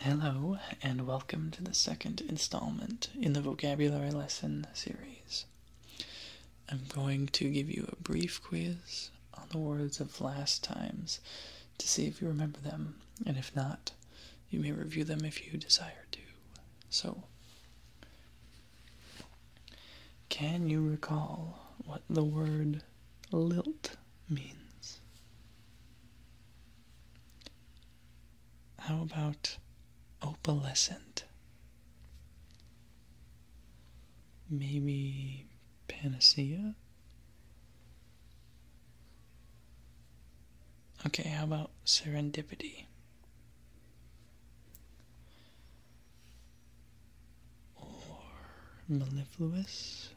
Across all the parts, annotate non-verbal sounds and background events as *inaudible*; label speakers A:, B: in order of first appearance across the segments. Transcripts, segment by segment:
A: Hello, and welcome to the second installment in the vocabulary lesson series. I'm going to give you a brief quiz on the words of last times to see if you remember them, and if not, you may review them if you desire to. So, can you recall what the word lilt means. How about opalescent? Maybe panacea? Okay, how about serendipity? or mellifluous.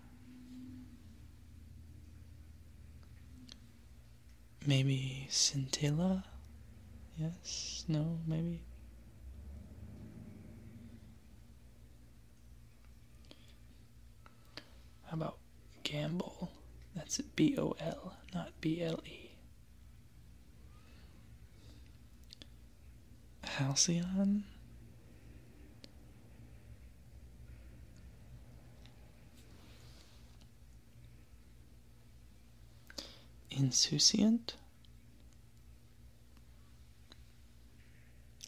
A: Maybe scintilla? Yes? No? Maybe? How about gamble? That's B O L, not B L E. Halcyon? Insouciant?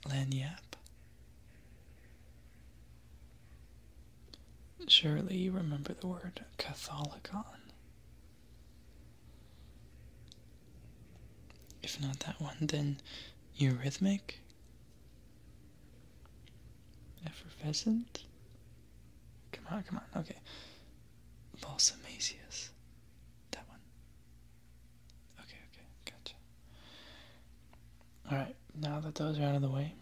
A: Lanyap? Surely you remember the word Catholicon. If not that one, then eurhythmic. Effervescent? Come on, come on, okay. Balsamasius. That one. Okay, okay, gotcha. Alright, now that those are out of the way,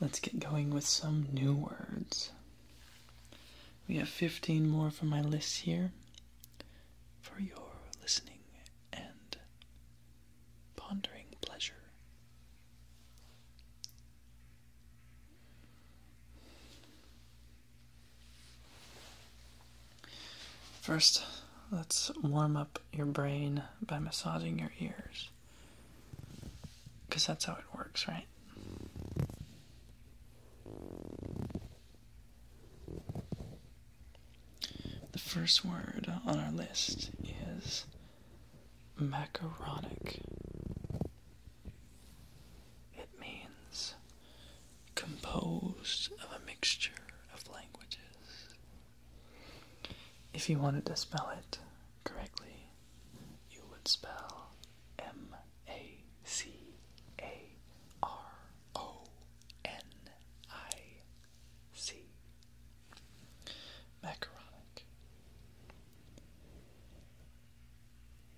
A: let's get going with some new words. We have 15 more from my list here for your listening and pondering pleasure. First, let's warm up your brain by massaging your ears. Because that's how it works, right? The first word on our list is macaronic. It means composed of a mixture of languages. If you wanted to spell it correctly, you would spell M a C A R O N I C. Macaronic.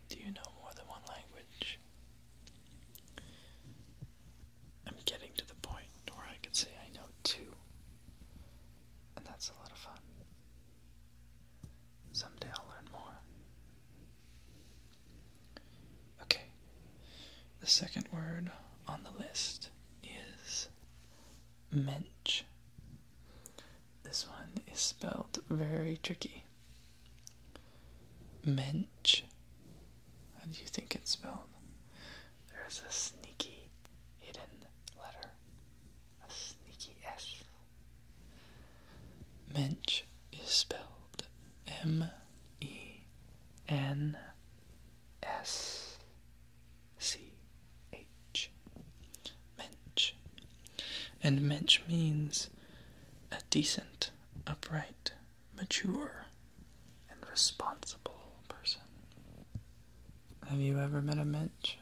A: Do you know more than one language? I'm getting to the point where I could say I know two, and that's a lot of fun. Someday I'll learn more. Okay, the second word on the list is mensch. This one is spelled very tricky. Mensch. How do you think it's spelled? There's a sneaky hidden letter, a sneaky S Mensch is spelled M E N S C H. Mensch. And mensch means a decent, upright, mature, and responsible person. Have you ever met a mensch?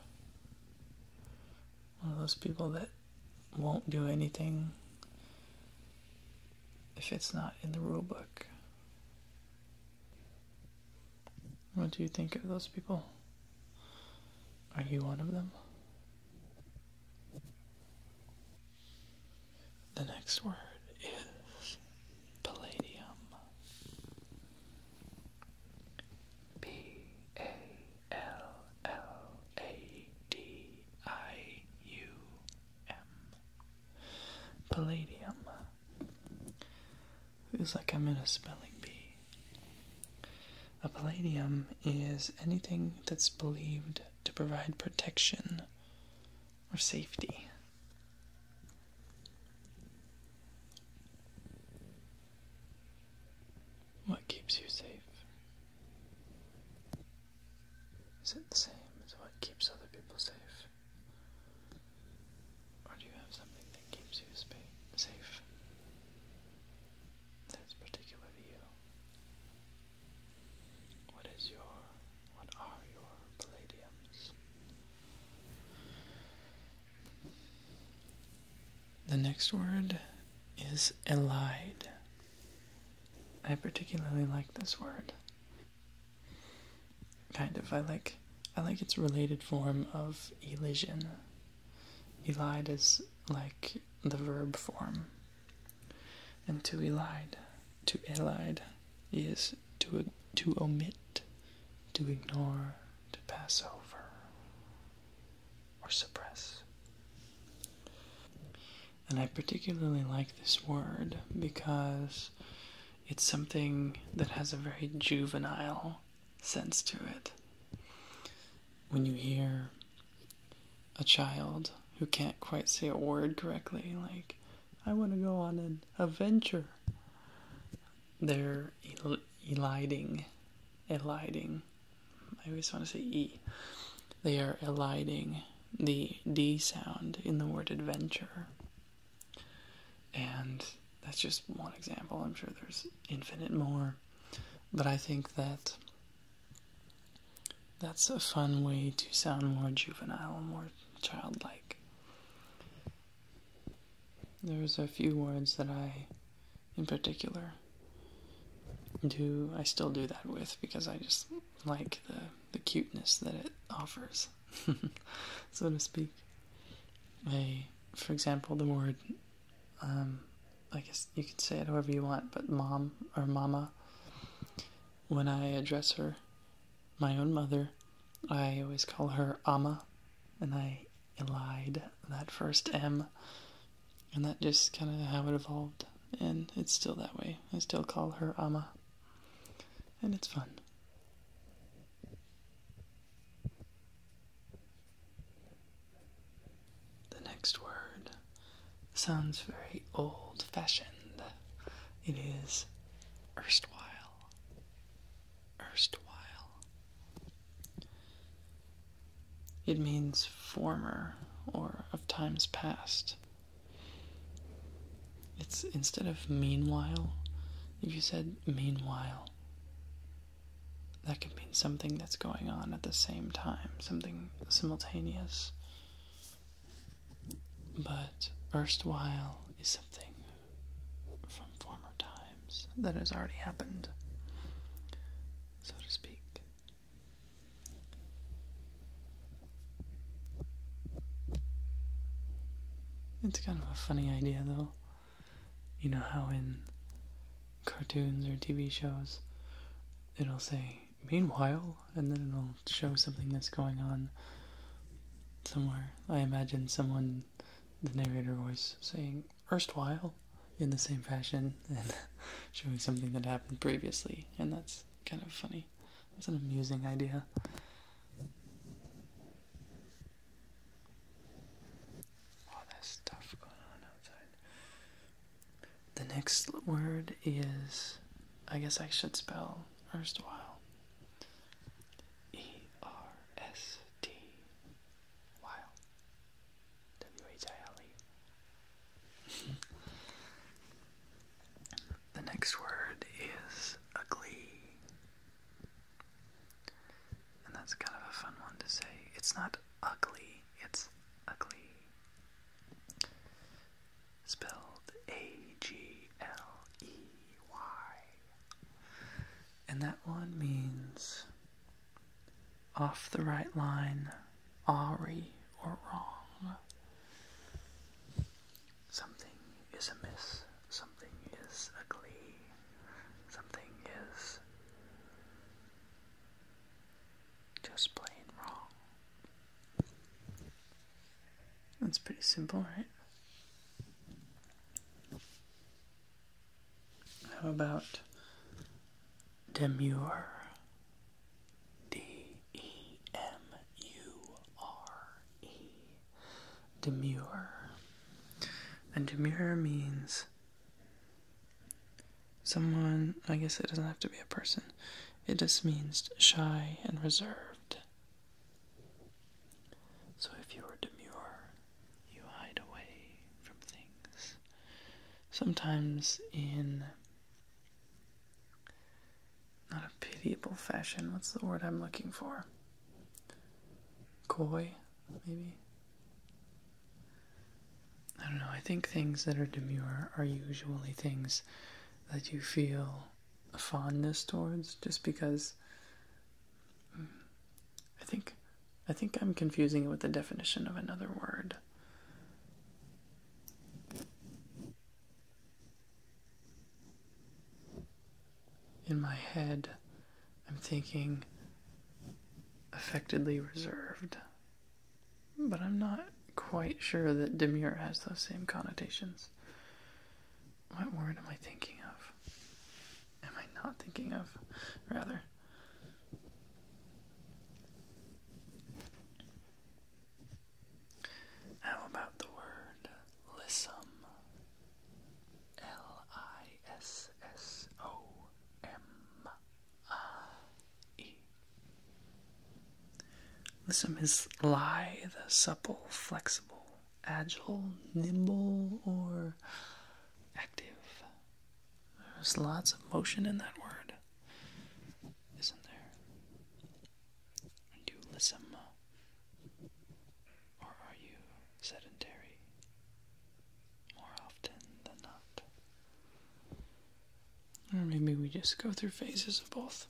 A: One of those people that won't do anything if it's not in the rule book. What do you think of those people? Are you one of them? The next word is palladium. P A L L A D I U M. Palladium. Feels like I'm in a spelling bee. A palladium is anything that's believed to provide protection or safety. What keeps you safe? Is it the same as what keeps other people safe? Or do you have something that keeps you spa safe? That's particular to you. What is your, what are your palladiums? The next word is elide. I particularly like this word. Kind of. I like I like its related form of elision. Elide is like the verb form. And to elide, to elide is to to omit, to ignore, to pass over or suppress. And I particularly like this word because it's something that has a very juvenile sense to it. When you hear a child who can't quite say a word correctly, like, I want to go on an adventure they're eliding, eliding. I always want to say e. They are eliding the d sound in the word adventure. And that's just one example. I'm sure there's infinite more. But I think that that's a fun way to sound more juvenile, more childlike. There's a few words that I, in particular, do I still do that with because I just like the the cuteness that it offers, *laughs* so to speak. I, for example, the word, um, I guess you could say it however you want, but mom or mama. When I address her, my own mother, I always call her ama, and I elide, that first M. And that just kind of how it evolved. And it's still that way. I still call her Ama. And it's fun. The next word sounds very old fashioned. It is erstwhile erstwhile. It means former or of times past. It's instead of meanwhile, if you said meanwhile, that could mean something that's going on at the same time, something simultaneous. But erstwhile is something from former times that has already happened, so to speak. It's kind of a funny idea, though. You know how in cartoons or TV shows it'll say, meanwhile, and then it'll show something that's going on somewhere. I imagine someone, the narrator voice, saying, erstwhile in the same fashion and *laughs* showing something that happened previously, and that's kind of funny. It's an amusing idea. All this stuff going on outside. The next word is, I guess I should spell erstwhile. E R S T while. W-H-I-L-E. the next word is ugly. And that's kind of a fun one to say. It's not ugly, it's ugly. Spelled A G L E Y. And that one means off the right line, awry, or wrong. Something is amiss, something is ugly, something is just plain wrong. That's pretty simple, right? How about demure? D E M U R E. Demure. And demure means someone, I guess it doesn't have to be a person, it just means shy and reserved. So if you are demure, you hide away from things. Sometimes in not a pitiable fashion, what's the word I'm looking for? Coy, maybe? I don't know, I think things that are demure are usually things that you feel fondness towards just because I think I think I'm confusing it with the definition of another word. In my head, I'm thinking affectedly reserved, but I'm not quite sure that demure has those same connotations. What word am I thinking of? Am I not thinking of, rather? How about the word lissom? L I S S O M I uh, E. Lissom is lithe, supple, flexible, agile, nimble, or active. There's lots of motion in that word, isn't there? Are you lissom? Or are you sedentary? More often than not. Or maybe we just go through phases of both.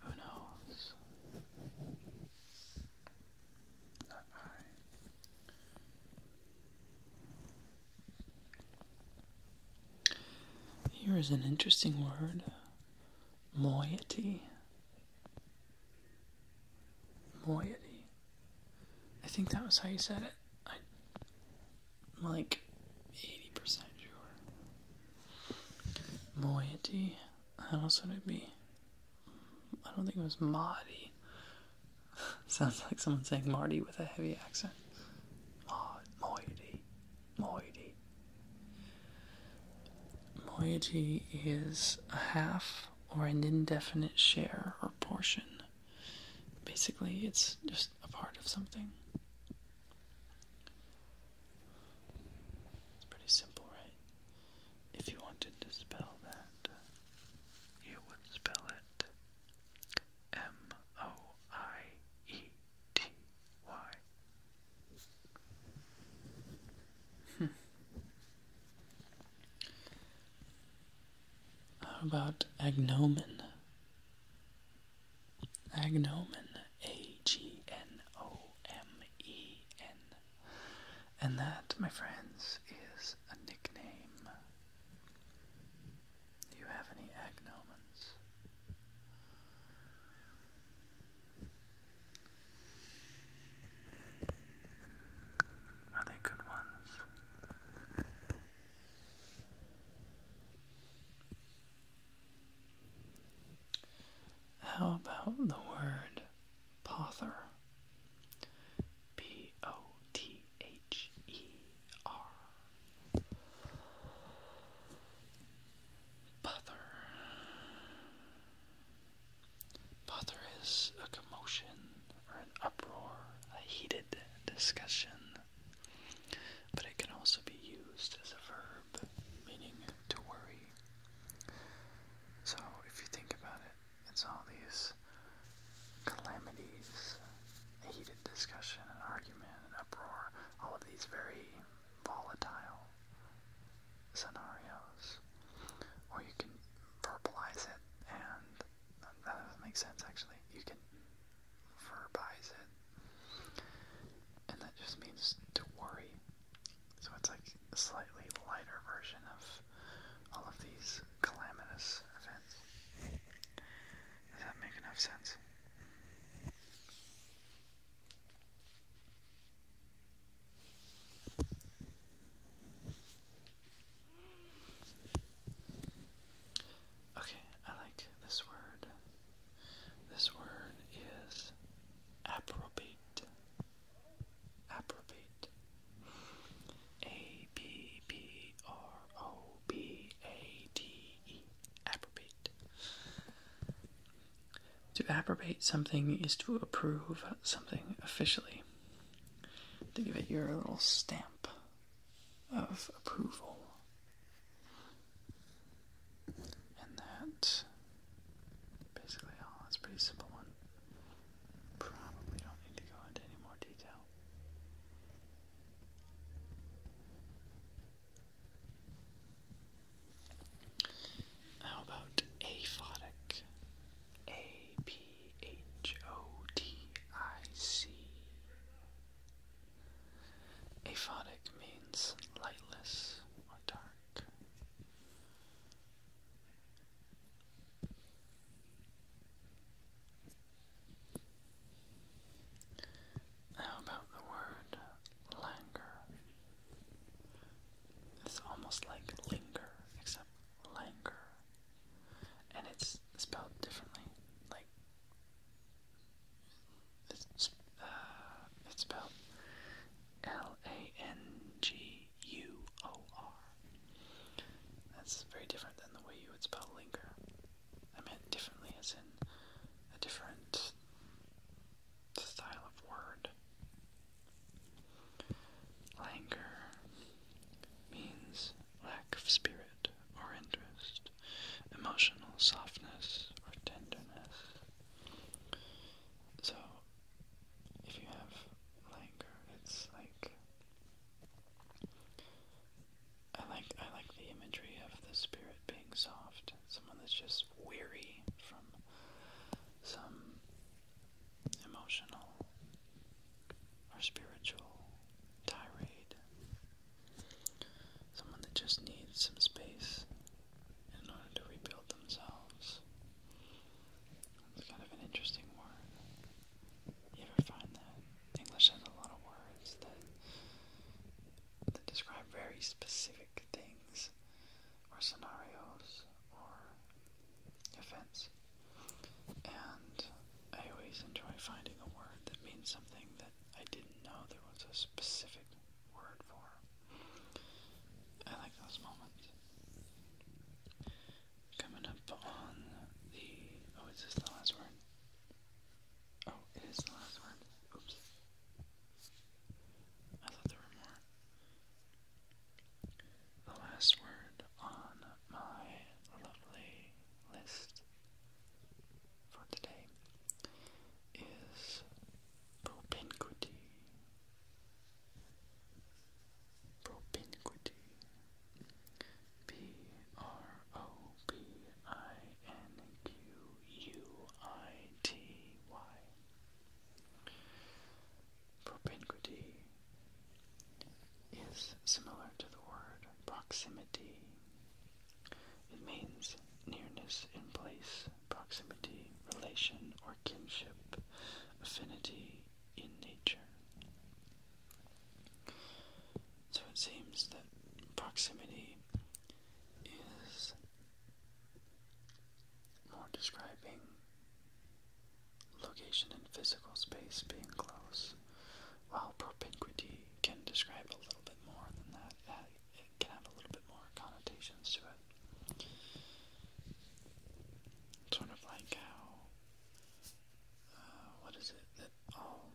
A: Who knows? Here is an interesting word moiety. Moiety. I think that was how you said it. I'm like 80% sure. Moiety. How else would it be? I don't think it was Marty. *laughs* Sounds like someone saying Marty with a heavy accent. Moiety. Moiety. Moiety is a half or an indefinite share or portion. Basically, it's just a part of something. It's pretty simple, right? If you wanted to spell that, you would spell it M O I E T Y. Hmm. How about agnomen? Agnomen, A G N O M E N. And that, my friends, is a nickname. Do you have any agnomens? Are they good ones? How about the word pother? P O T H E R. Pother. Pother is a commotion or an uproar, a heated discussion but it can also be used as a verb meaning to worry. So, if you think about it, it's all these calamities, a heated discussion, an argument, an uproar, all of these very volatile scenarios. Or you can verbalize it, and that doesn't make sense actually. You can verbalize it and that just means to worry. So it's like a slightly lighter version of all of these calamitous events. Does that make enough sense? Okay, I like this word. This word is approbate. Approbate. A P P R O B A T E. Approbate. To approbate something is to approve something officially. To give it your little stamp of approval and that basically oh, all. It's pretty simple one. Probably don't need to go into any more detail. How about aphotic? A P H O T I C Aphotic means lightless or dark. How about the word languor? It's almost like linger, except languor. And it's spelled differently, like uh, it's, spelled L-A-N-G-U-O-R. That's very different than the way you would spell linger. I meant differently as in a different style of word. Languor means lack of spirit or interest emotional softness or tenderness. So, if you have languor, it's like I like I like the imagery of the spirit being soft, someone that's just weary from some emotional or spiritual tirade. Someone that just needs some space in order to rebuild themselves. It's kind of an interesting word. You ever find that? English has a lot of words that, that describe very specific things or scenarios or events. And I always enjoy finding a word that means something that I didn't know there was a specific word for. I like those moments. Coming up on the. Oh, is this the last word? Oh, it is the last word. Oops. I thought there were more. The last word on my lovely list for today is propinquity. Propinquity. P R O P I N Q U I T Y. Propinquity is similar to the word proximity it means nearness in place, proximity, relation or kinship, affinity in nature. So it seems that proximity is more describing location in physical space being close, while propinquity can describe a little bit more than that, uh, it can have a little bit more connotations to it. Sort of like how, uh, what is it, that all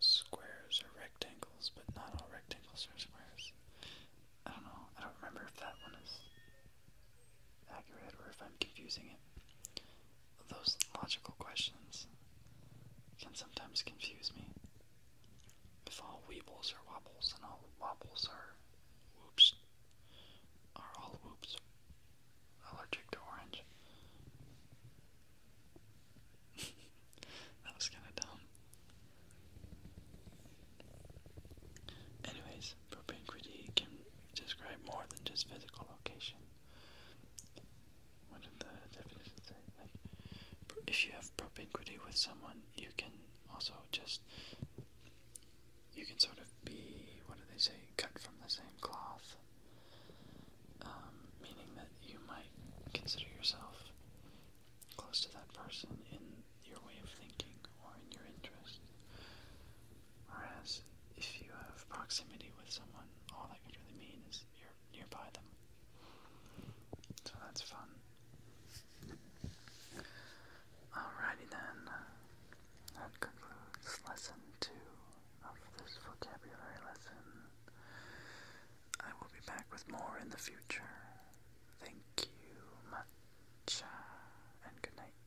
A: squares are rectangles, but not all rectangles are squares. I don't know, I don't remember if that one is accurate or if I'm confusing it those logical questions can sometimes confuse me. If all weebles are wobbles and all wobbles are whoops, are all whoops allergic to orange? *laughs* that was kind of dumb. Anyways, propane can describe more than just physical location what did the definition say? Like, if you have propinquity with someone, you can also just, you can sort of be, what do they say, cut from the same cloth. Um, meaning that you might consider yourself close to that person in your way of thinking or in your interest. Whereas if you have proximity with someone, all that could really mean is you nearby them. So that's fun. Alrighty then. That concludes lesson two of this vocabulary lesson. I will be back with more in the future. Thank you much, uh, and good night.